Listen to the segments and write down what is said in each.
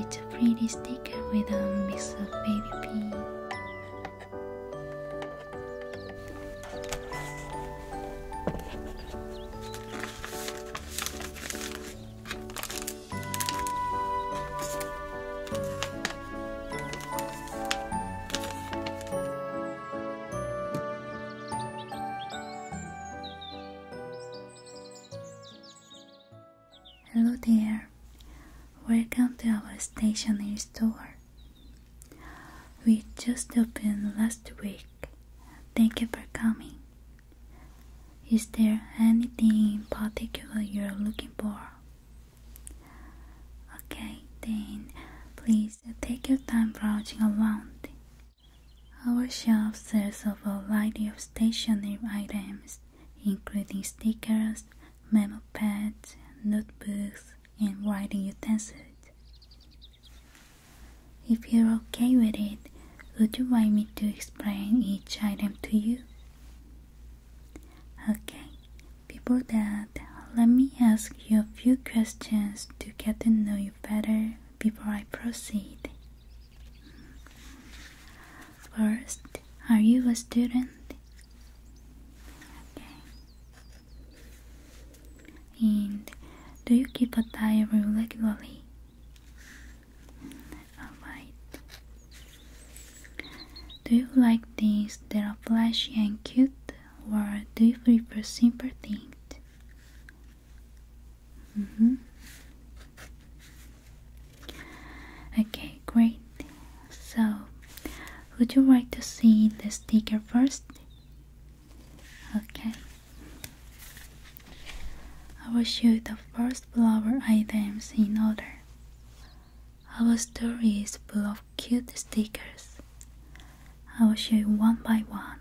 It's a pretty sticker with a mix of baby pink. Hello there, welcome to our stationery store. We just opened last week. Thank you for coming. Is there anything in particular you're looking for? Okay, then please take your time browsing around. Our shop sells a variety of stationery items, including stickers, memo pads, notebooks, and writing utensils. If you're okay with it, would you like me to explain each item to you? Okay, people that let me ask you a few questions to get to know you better before I proceed. First, are you a student? Okay. And do you keep a diary regularly? Alright. Do you like things that are flashy and cute, or do you prefer simple things? Mm-hmm. Okay, great. So, would you like to see the sticker first? Okay. I will show the first flower items in order. Our story is full of cute stickers. I will show you one by one.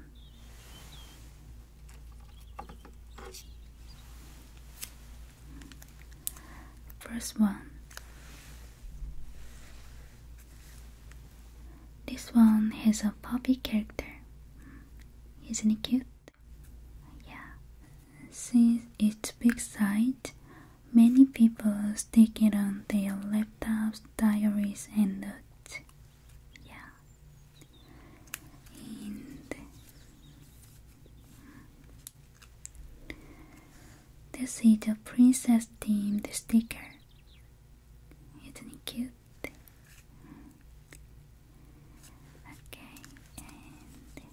First one. This one has a puppy character. Isn't it cute? Yeah. Since its big size, Many people stick it on their laptops, diaries, and notes. Yeah. And this is a princess themed sticker. Isn't it cute? Okay, and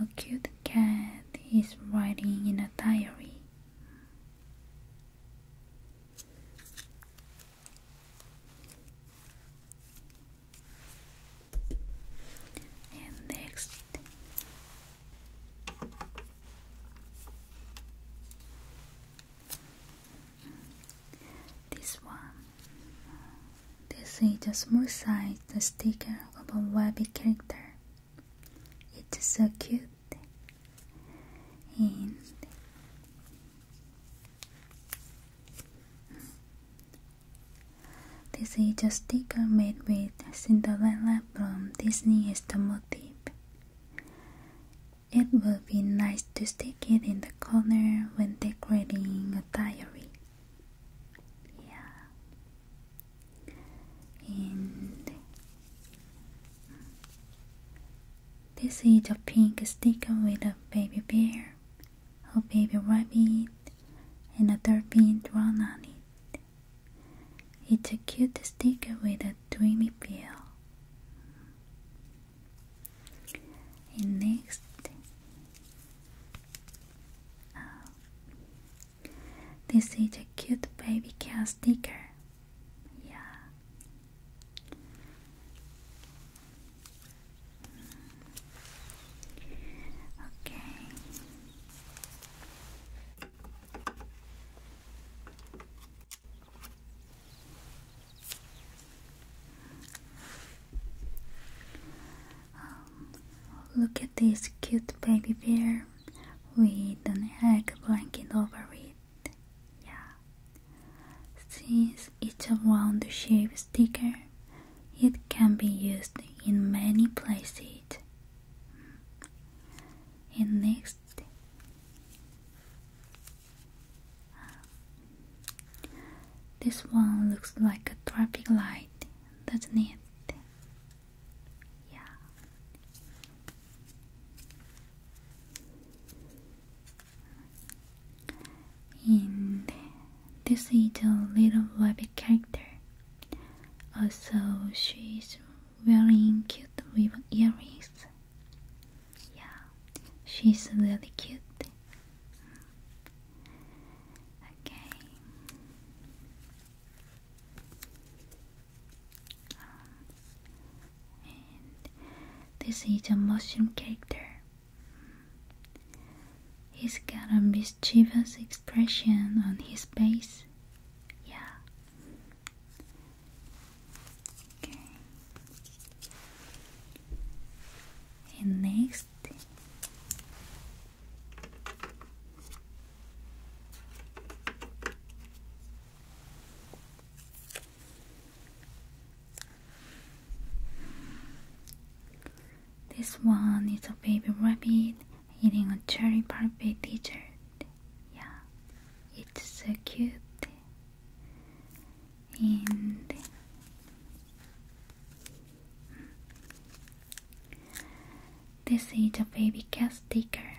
a cute cat is writing in a diary. And next, this one. This is a small-sized sticker of a webby character. It's so cute this is a sticker made with Cinderella from Disney as the motive. It will be nice to stick it in the corner when decorating a diary. Yeah. And this is a pink sticker with a baby bear, a baby rabbit, and a dolphin drawn on it. It's a cute sticker with a dreamy feel. And next, this is a cute baby cat sticker. Yeah. Okay. Um, look at this cute baby bear with an egg blanket over it. Yeah. Since it's a round shaped sticker, it can be used in many places. Mm. And next, um, this one looks like a traffic light that's not it? Yeah. And this is a little rabbit character. Also, uh, she's wearing cute ribbon earrings. Yeah, she's really cute. Okay. Um, this is a mushroom character. He's got a mischievous expression on his face. Yeah. Okay. And next this one is a baby rabbit eating a cherry parfait dessert. Yeah, it's so cute. And this is a baby cat sticker.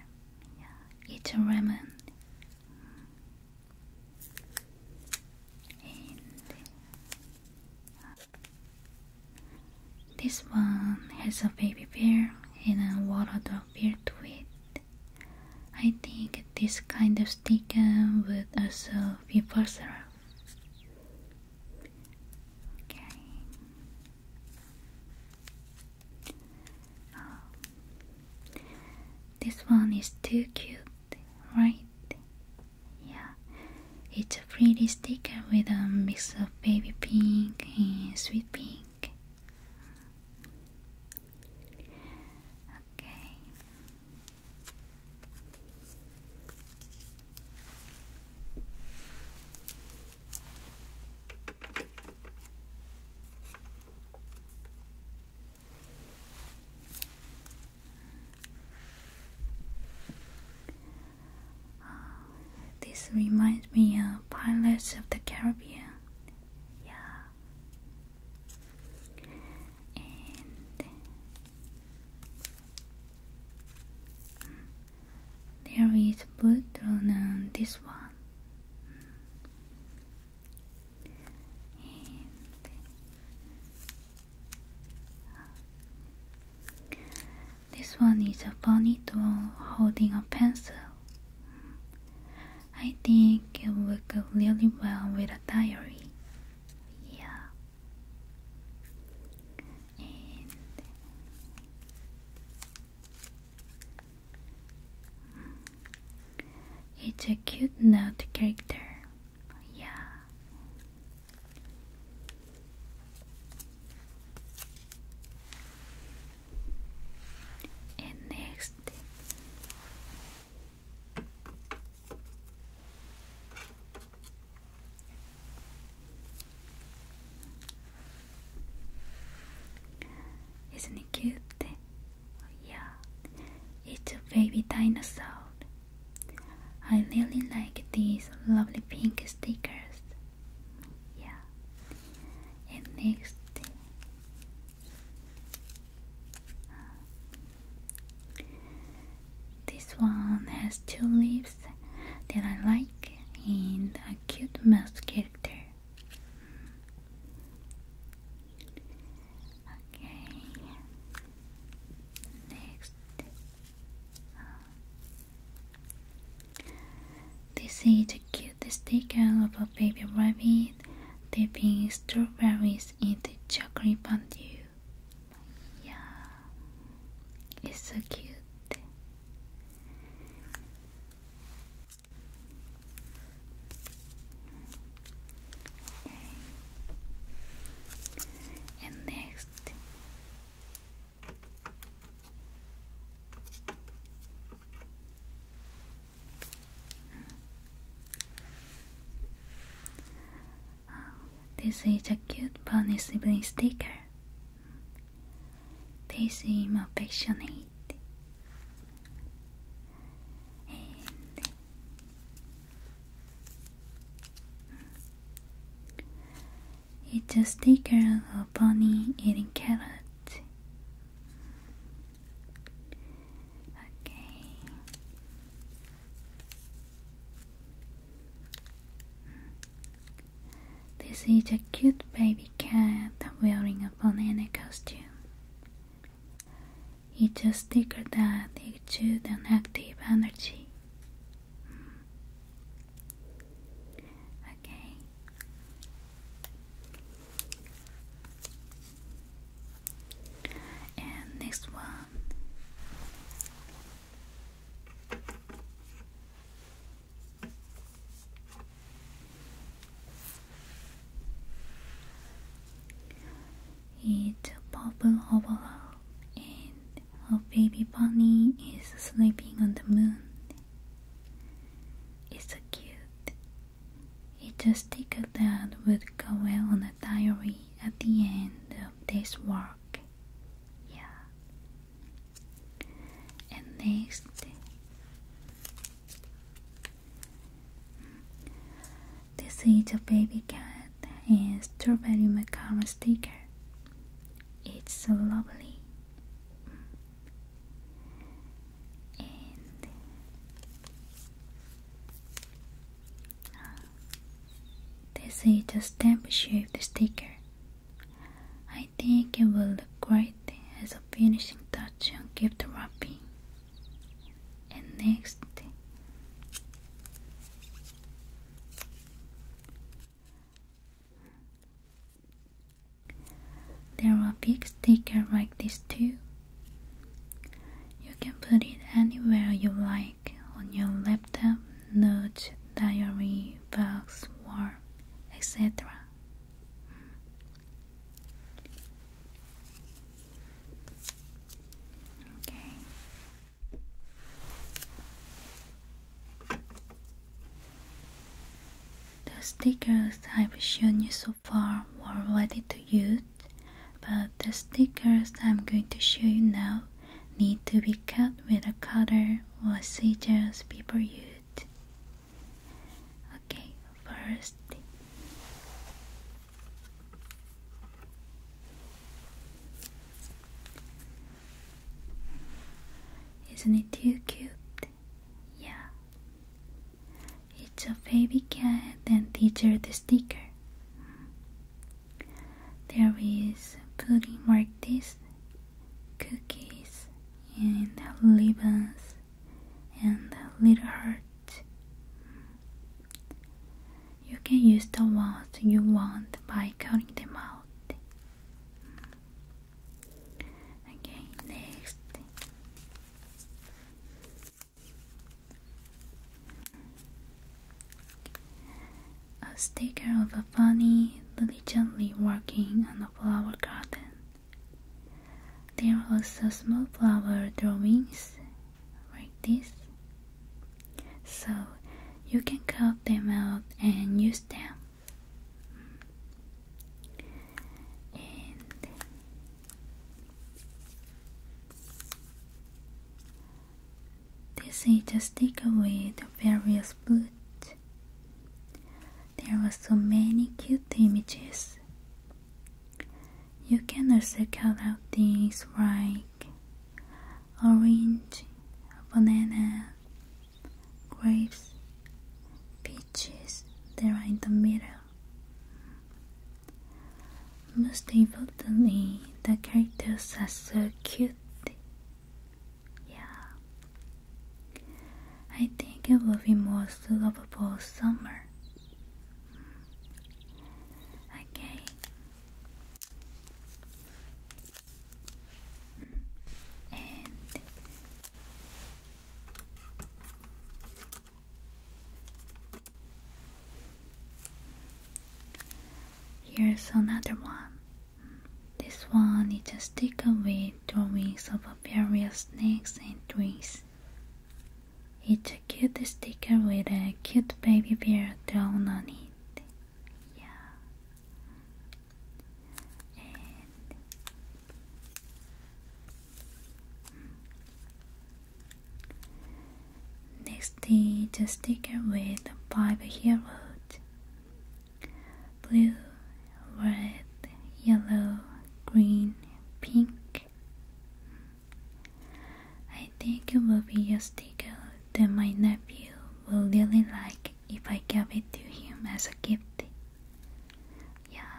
it's a ramen. this one has a baby bear and a water dog with. it. I think this kind of sticker would also be versatile. Okay. Oh. This one is too cute, right? Yeah. It's a pretty sticker with a mix of baby pink and sweet pink. Okay this reminds me of Pirates of the Caribbean. Yeah. There is blue drawn on um, this one. this one is a bunny doll holding a pencil. I think it would go really well with a diary. Yeah it's a cute note character. Yeah. And next isn't it cute? yeah, it's a baby dinosaur. I really like these lovely pink stickers. Yeah. And next, this one has two leaves that I like and a cute mouse character. Okay, next. This is the cutest sticker of a baby rabbit dipping strawberries into chocolate fondue. Yeah, it's so cute. And next. This is a cute bunny sleeping sticker. They seem affectionate. it's a sticker of a bunny eating carrots. Okay. This is a cute baby cat wearing a banana costume. It's a sticker that exudes an active energy. Okay. And next one. It's a purple overall, and a baby bunny is sleeping on the moon. It's so cute. It just sticker that would go well on a diary at the end of this work. Yeah. And next, this is a baby cat and strawberry macaron sticker. It's so lovely. And this is a stamp shaped sticker. I think it will look great as a finishing touch on gift wrapping. And next, there are big stickers like this too. You can put it anywhere you like on your laptop, note, diary, box, wall, etc. Okay. The stickers I've shown you so far were ready to use, but the stickers I'm going to show you now need to be cut with a cutter or scissors before used. Okay, first Isn't it too cute? Yeah. It's a baby cat and teacher the sticker. There is pudding like this, cookies, and lemons, and little heart. You can use the ones you want by cutting them out. Okay, next a sticker of a bunny diligently working on a flower garden. There are also small flower drawings like this. So you can cut them out and use them. They say just take away the various boots. There are so many cute images. You can also call out things like orange, banana, grapes, peaches, they are in the middle. Most importantly, the characters are so cute. Yeah. I think it will be more lovable summer. Hmm. Okay. Hmm. Here's another one. This one is just stick away drawings of various snakes and trees. It's a cute sticker with a cute baby bear drawn on it. Yeah. Next is the sticker with five heroes blue, red, yellow, green, pink. I think it will be a sticker that my nephew will really like if I give it to him as a gift. Yeah.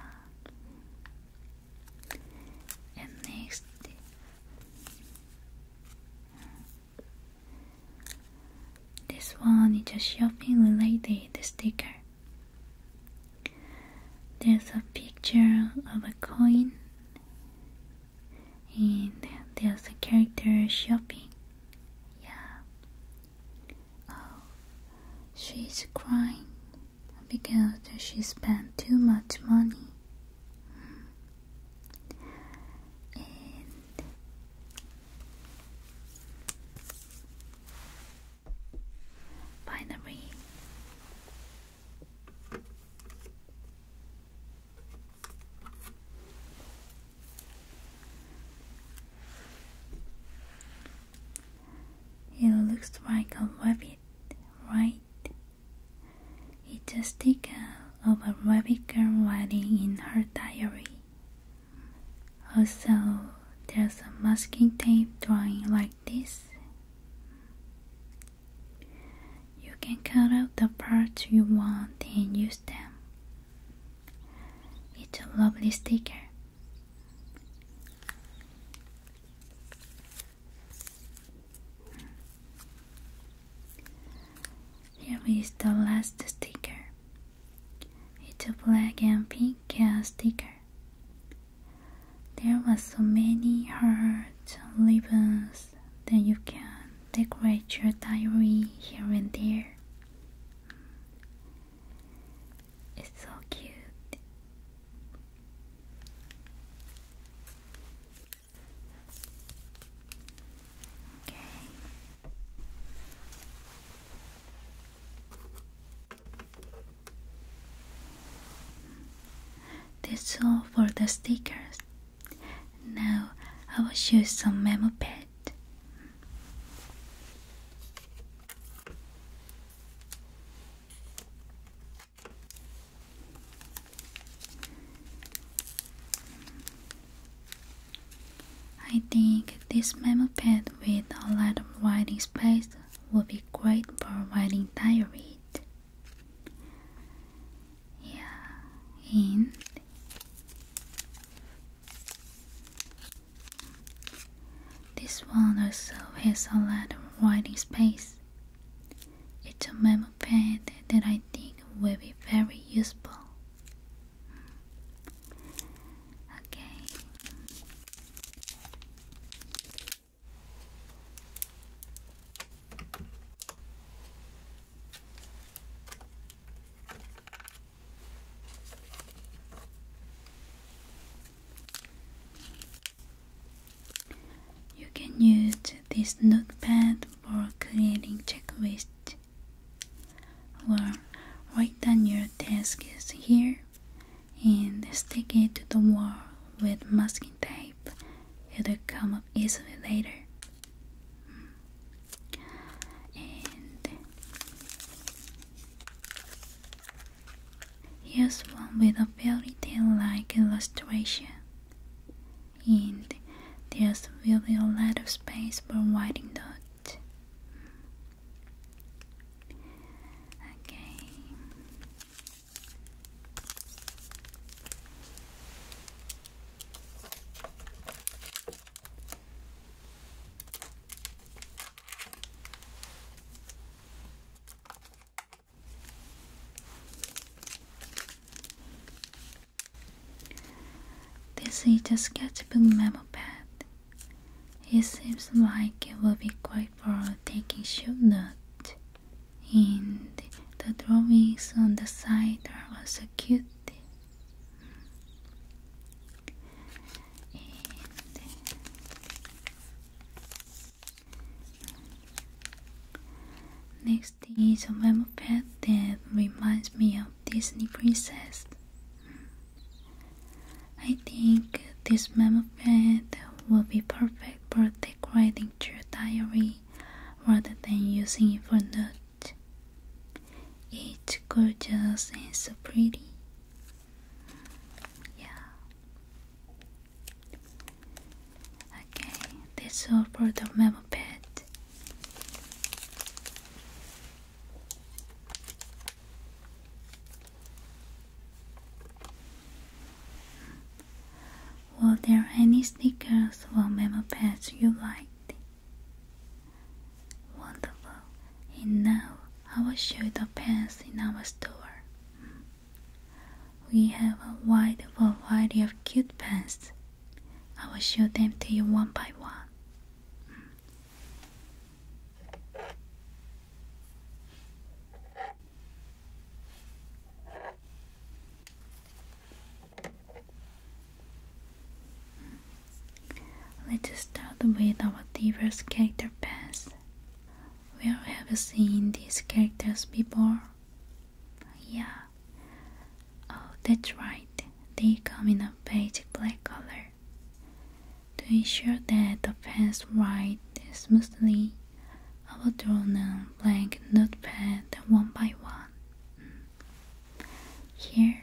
And next this one is a shopping related sticker. There's a picture of a coin and there's a character shopping. Yeah. Oh, she's crying because she spent too much money. Hmm and finally it looks like a rabbit, right? It's a sticker of a rabbit girl writing in her diary. Also, there's a masking tape drawing like this. You can cut out the parts you want and use them. It's a lovely sticker. Here is the last sticker. It's a black and pink cat uh, sticker. There are so many hearts and ribbons that you can decorate your diary here and there. It's so cute. That's all for the stickers. Now I will show some memo pad. I think this memo pad with a lot of writing space would be great for writing diary. Yeah, and this one also has a lot of writing space. It's a memo pen that I think will be very useful. Okay. You can use this notepad for creating checklists. Well, write down your tasks here and stick it to the wall with masking tape. It'll come up easily later. And here's one with a fairy tale like illustration and there's really a lot of space for writing dot. Okay. This is a sketchbook memo pad. It seems like it will be great for taking shoot notes. And the drawings on the side are also cute. next stage of pad that reminds me of Disney Princess. Hmm. I think this pad will be perfect for decorating your diary rather than using it for note. It's gorgeous and so pretty. Yeah. Okay, that's all for the memo pad. Were there any stickers or memo pads you liked? Wonderful. And now I will show you the pens in our store. We have a wide variety of cute pens I will show them to you one by one. Let's start with our diverse character pairs. We have seen these characters before, yeah. Oh, that's right. They come in a basic black color. To ensure that the pens write smoothly, I will draw on blank notepad one by one. Hmm. Here.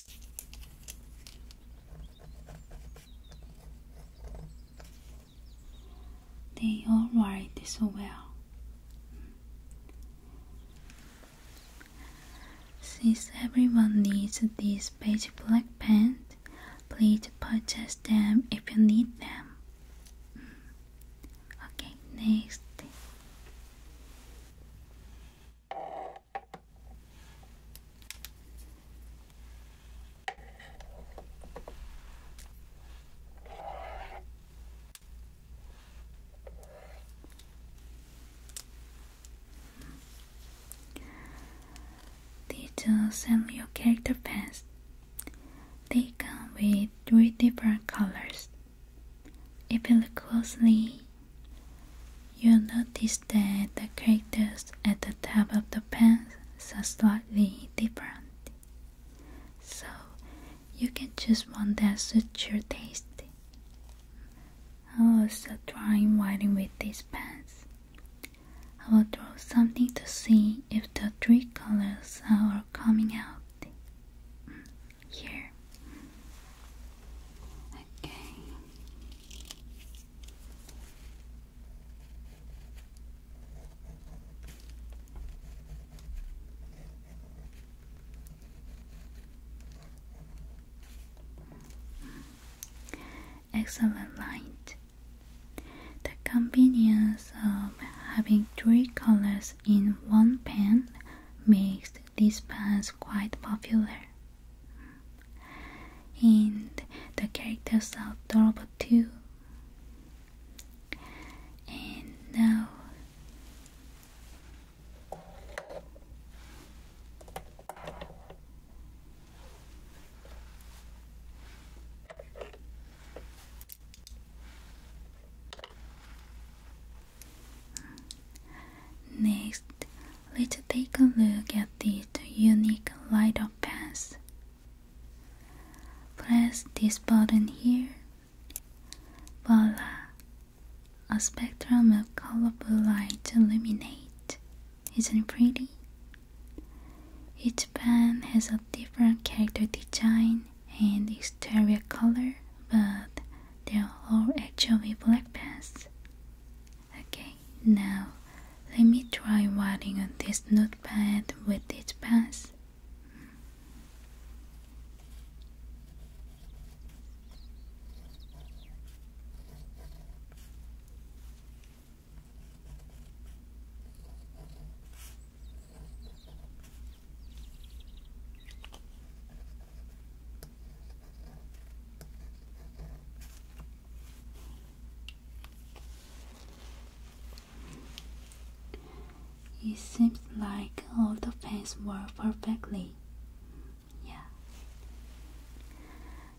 They all write so well. Since everyone needs this beige black pants, please purchase them if you need them. Okay, next. These are your character pens. They come with three different colors. If you look closely, You'll notice that the characters at the top of the pens are slightly different. So you can choose one that suits your taste. I'm also drawing writing with these pens. I will draw something to see if the three colors are coming out here. Okay. Excellent light. The convenience of having three colors in one pen makes these pens quite popular and the characters are Robot 2. And now Next, let's take a look at these unique light up pens. Press this button here. Voila! A spectrum of colorful light illuminate. Isn't it pretty? Each pen has a different character design and exterior color, but they are all actually black pens. Okay, now let me try writing on this notepad with these pens. It seems like all the pens work perfectly. Yeah.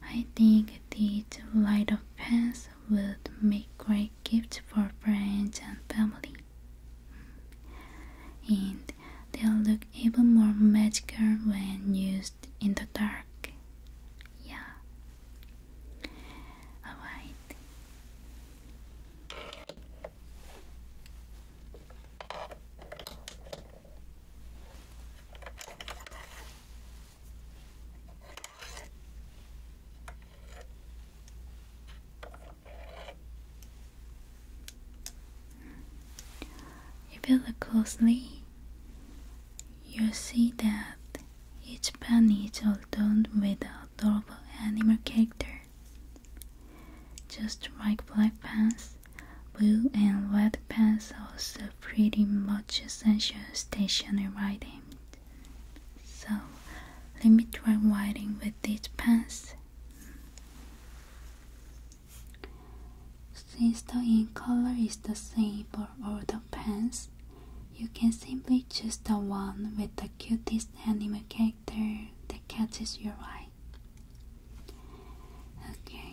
I think these light of pens would make great gifts for friends and family. In mm they'll look even more magical when used in the dark. Yeah. Alright. If you look closely, you'll see that each pen is all done with a adorable animal character. Just like black pens, blue and red pants also pretty much essential stationery items. So let me try writing with these pens. Since the ink color is the same for all the pens, you can simply choose the one with the cutest anime character that catches your eye. Okay.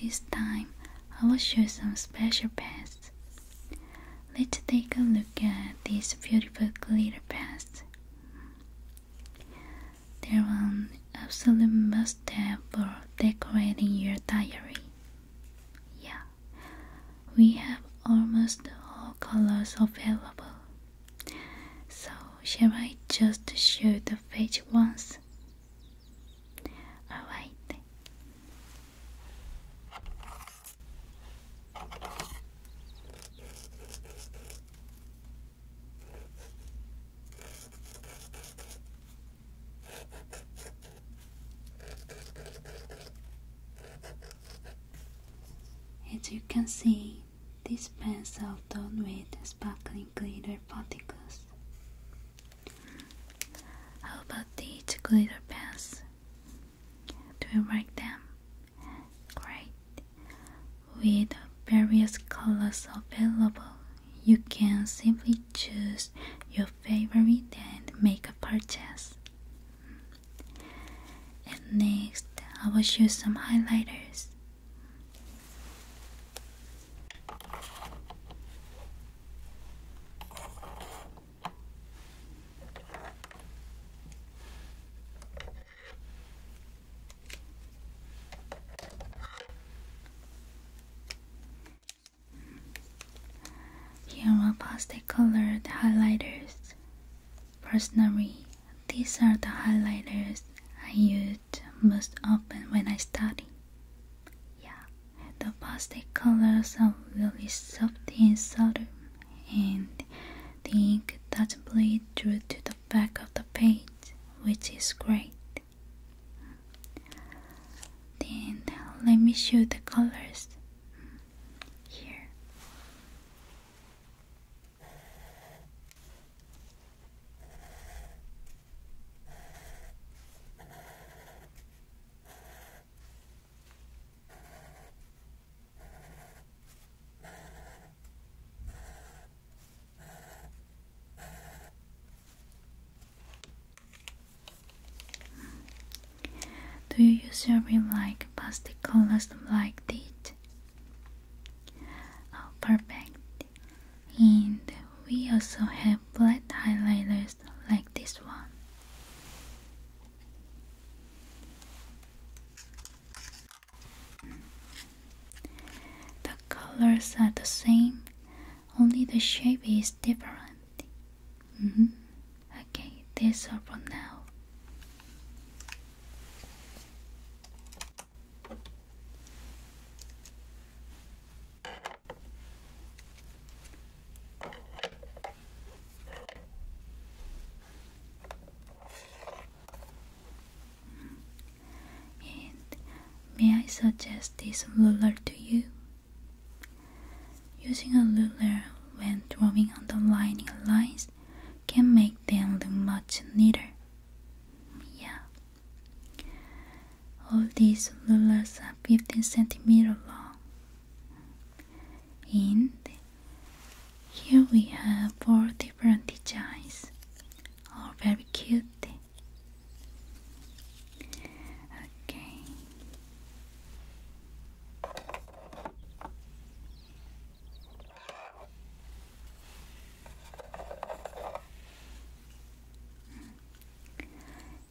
This time I will show some special pens. Let's take a look at these beautiful glitter pens. They're an absolute must have for decorating your diary. Yeah, we have almost all colors available. So shall I just show the page once? Alright. As you can see, these pens are done with sparkling glitter particles. How about these glitter pens? Do you like them? Great! With various colors available, you can simply choose your favorite and make a purchase. And next, I will show some highlighters. Here are plastic colored highlighters. Personally, these are the highlighters I use it most often when I study. Yeah, the plastic colors are really soft and subtle, and the ink doesn't bleed through to the back of the page, which is great. Then let me show the colors here. Do you use usually like plastic colors like this? Oh, perfect. And we also have flat highlighters like this one. The colors are the same, only the shape is different. Mm -hmm. Okay, that's all for now may I suggest this ruler to you? Using a ruler when drawing underlining lines can make them look much neater. Yeah. All these rulers are 15 centimeter long. And here we have four different designs, all very cute. Okay.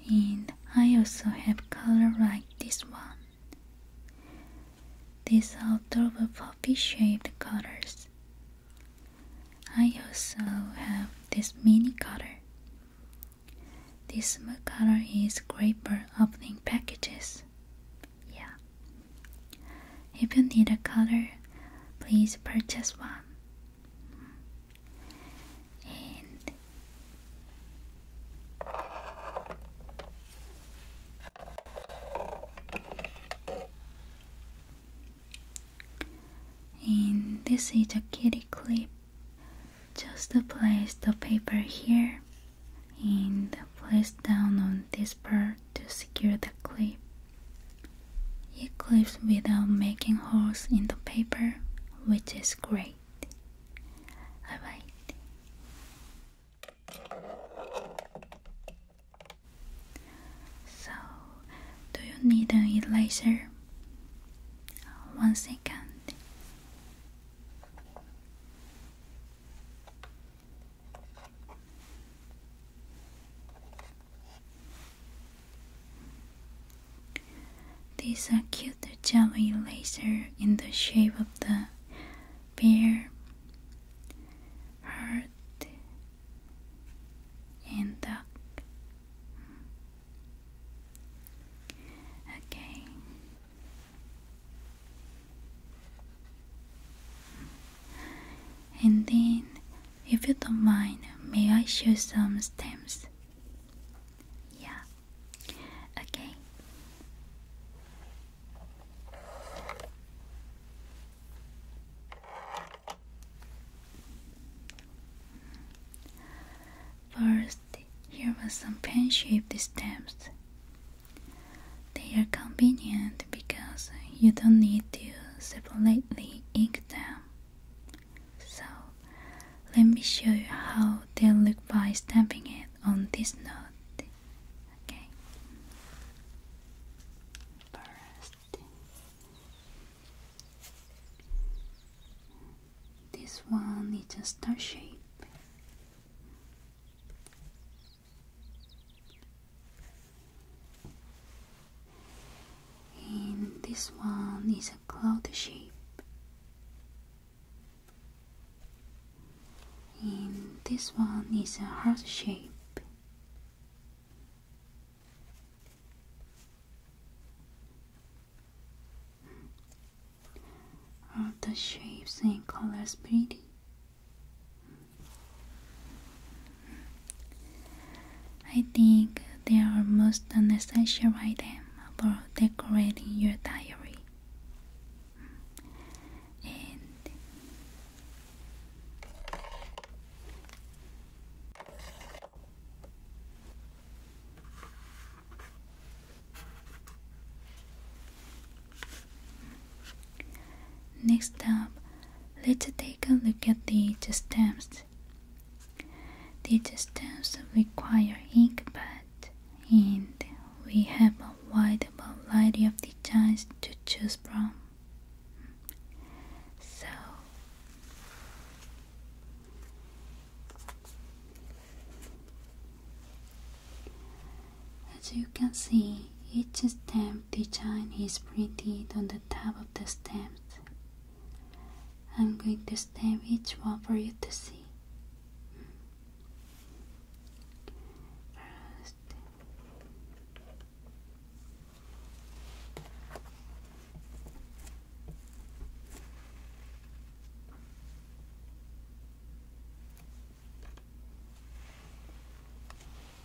And I also have color like this one. These are double poppy shaped colors. I also have this mini color. This small color is great for opening packages. Yeah. If you need a color, please purchase one. and this is a kitty clip. Just place the paper here and place down on this part to secure the clip. It clips without making holes in the paper, which is great. Alright. So, do you need an eraser? One second. These are cute jelly laser in the shape of the bear, heart, and duck. Okay. And then, if you don't mind, may I show some stamps? Yeah. Okay. First, here are some pen shaped stamps. They are convenient because you don't need to separately ink them. So let me show you how they look by stamping it on this note. Okay. First, this one is a star shape. And this one is a cloud shape. And this one is a heart shape. Are the shapes and colors pretty? I think they are most essential item for decorating your diary. Next up, let's take a look at the stamps. The stamps require ink pad, and we have a wide variety of designs to choose from. So, as you can see, each stamp design is printed on the top of the stamps. I'm going to stamp each one for you to see.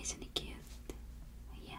Isn't it cute? Yeah.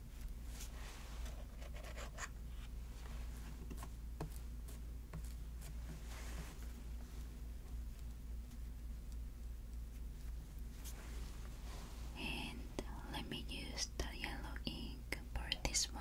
And let me use the yellow ink for this one.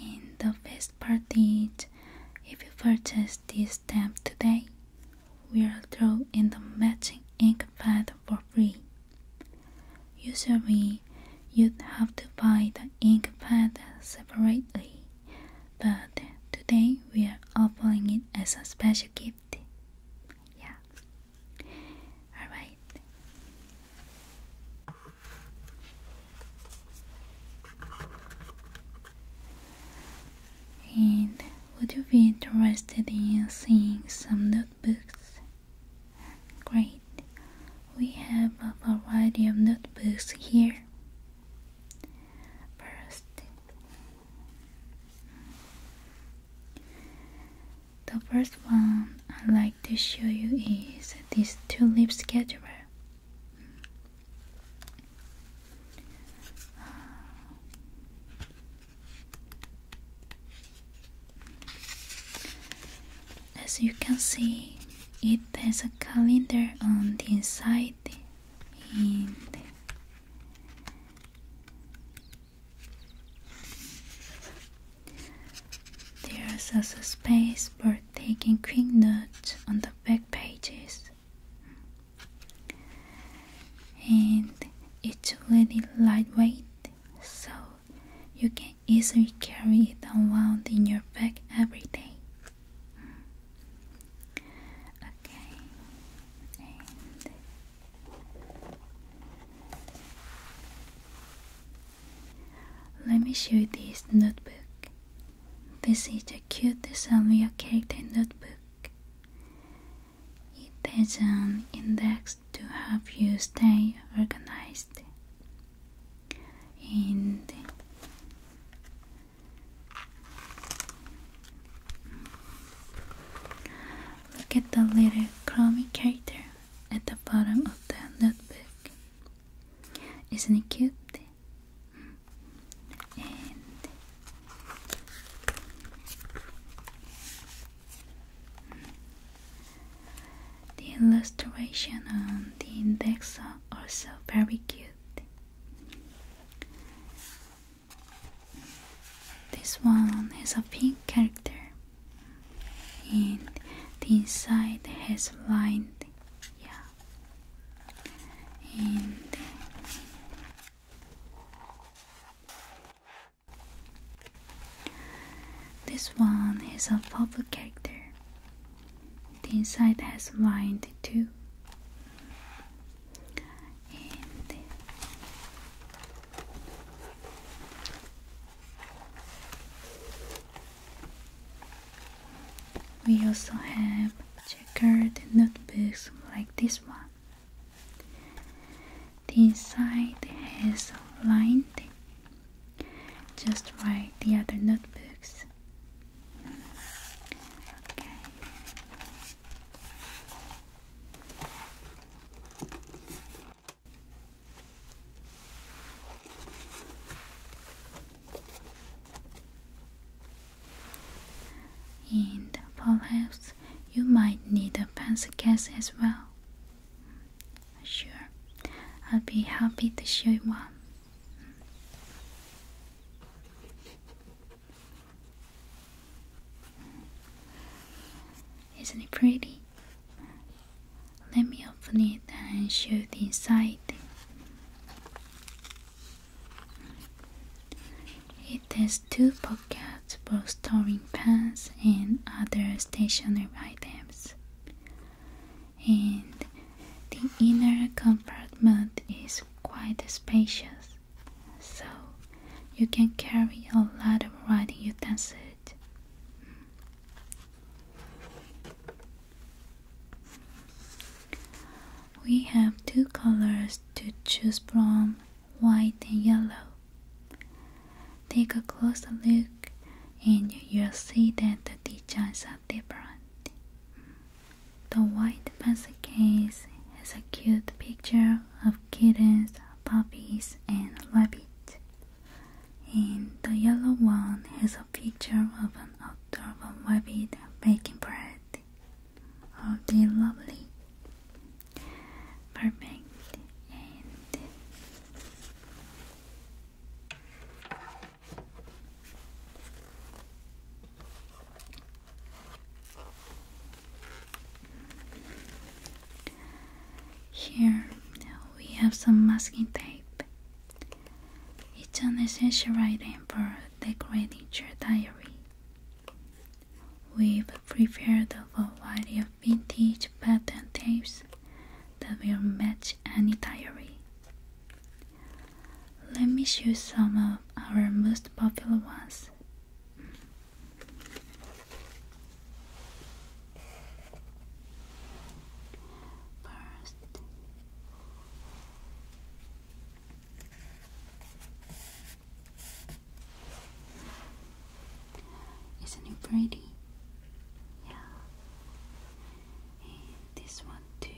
In the first part is, if you purchase this stamp today, we'll throw in the matching ink pad for free. Usually, you'd have to buy the ink pad separately, but today we are offering it as a special gift. Yeah. Alright. And would you be interested in seeing some notebooks? Great! We have a variety of notebooks here. First, the first one I'd like to show you is this tulip scheduler. As you can see, it has a calendar on the inside and there's also space for taking quick notes on the back pages. And it's really lightweight, so you can easily carry it around in your bag every day. Okay. Let me show you this notebook. This is the cutest Sylvia character notebook. It has an index to help you stay organized. And look at the little crummy character at the bottom of the notebook. Isn't it cute? the illustration on the index are also very cute. This one is a pink character and the inside has lined yeah and this one is a purple character the inside has lined too and we also have checkered notebooks like this one. The inside has lined just like the other notebooks. And perhaps you might need a pencil case as well. Sure, I'll be happy to show you one. Isn't it pretty? Let me open it and show the inside. It has two pockets for storing pens and other stationery items. And the inner compartment is quite spacious, so you can carry a lot of writing utensils. We have two colors to choose from white and yellow. Take a closer look and you'll see that the designs are different. The white pencil case has a cute picture of kittens, puppies, and rabbits, and the yellow one has picture of an outdoor rabbit making bread. Of the lovely. Perfect. And here we have some masking tape it's an essential item for decorating your diary. We've prepared a variety of vintage pattern tapes that will match any diary. Let me show some of our most popular ones. First, isn't it pretty? Yeah, and this one too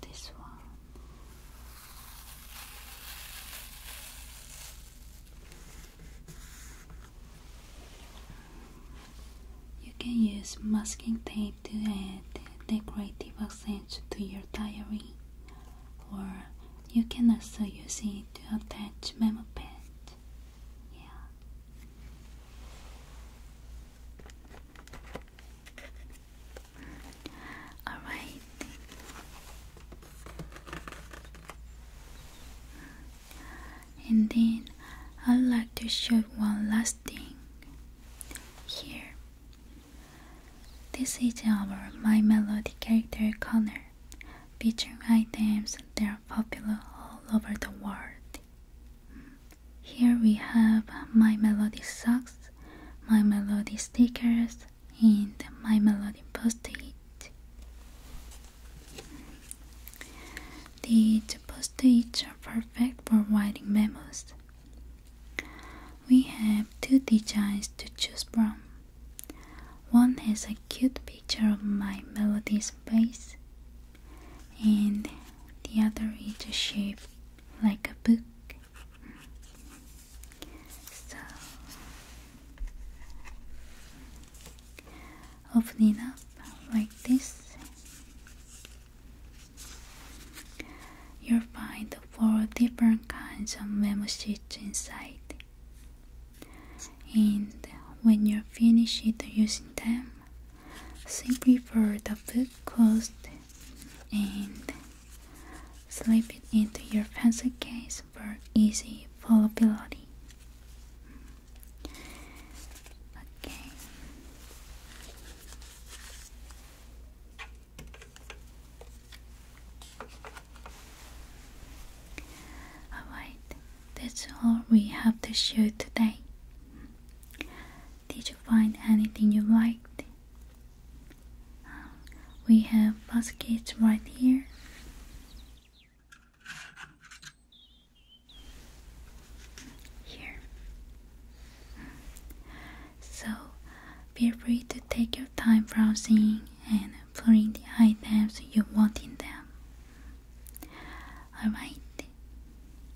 this one. You can use masking tape to add decorative accents to your diary, or you can also use it to attach memo pads. Yeah. All right. And then I'd like to show one last thing here. This is our My Melody character corner featuring items that are popular all over the world. Here we have my melody socks, my melody stickers, and my melody postage. The These are perfect for writing memos. We have two designs to choose from. One has a cute picture of my melody's face, and the other is shaped like a book. So open up like this. You'll find four different kinds of memo sheets inside. And when you are finished using them, simply pour the book closed and slip it into your pencil case for easy foldability. Okay. Alright, that's all we have to show today. Did you find anything you liked? we have baskets right here. Here. So feel free to take your time browsing and putting the items you want in them. Alright,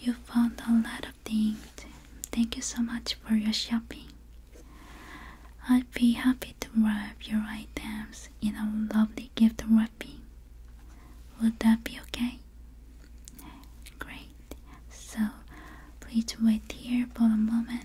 You found a lot of things. Thank you so much for your shopping. I'd be happy to wrap your items in a lovely gift wrapping. Would that be okay? Great. So please wait here for a moment.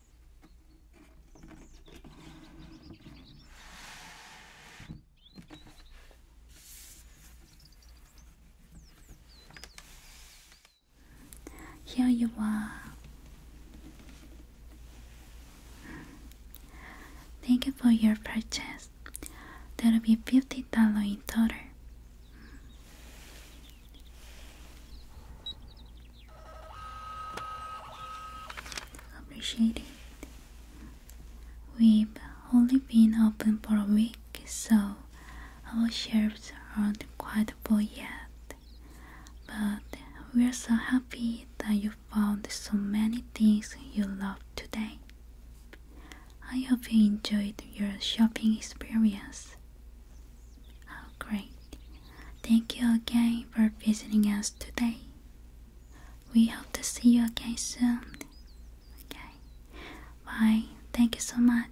Here you are. Thank you for your purchase. That'll be $50 in total appreciate it. We've only been open for a week, so our shelves aren't quite full yet. But we're so happy that you found so many things you love today. I hope you enjoyed your shopping experience. Oh, great. Thank you again for visiting us today. We hope to see you again soon. Okay. Bye. Thank you so much.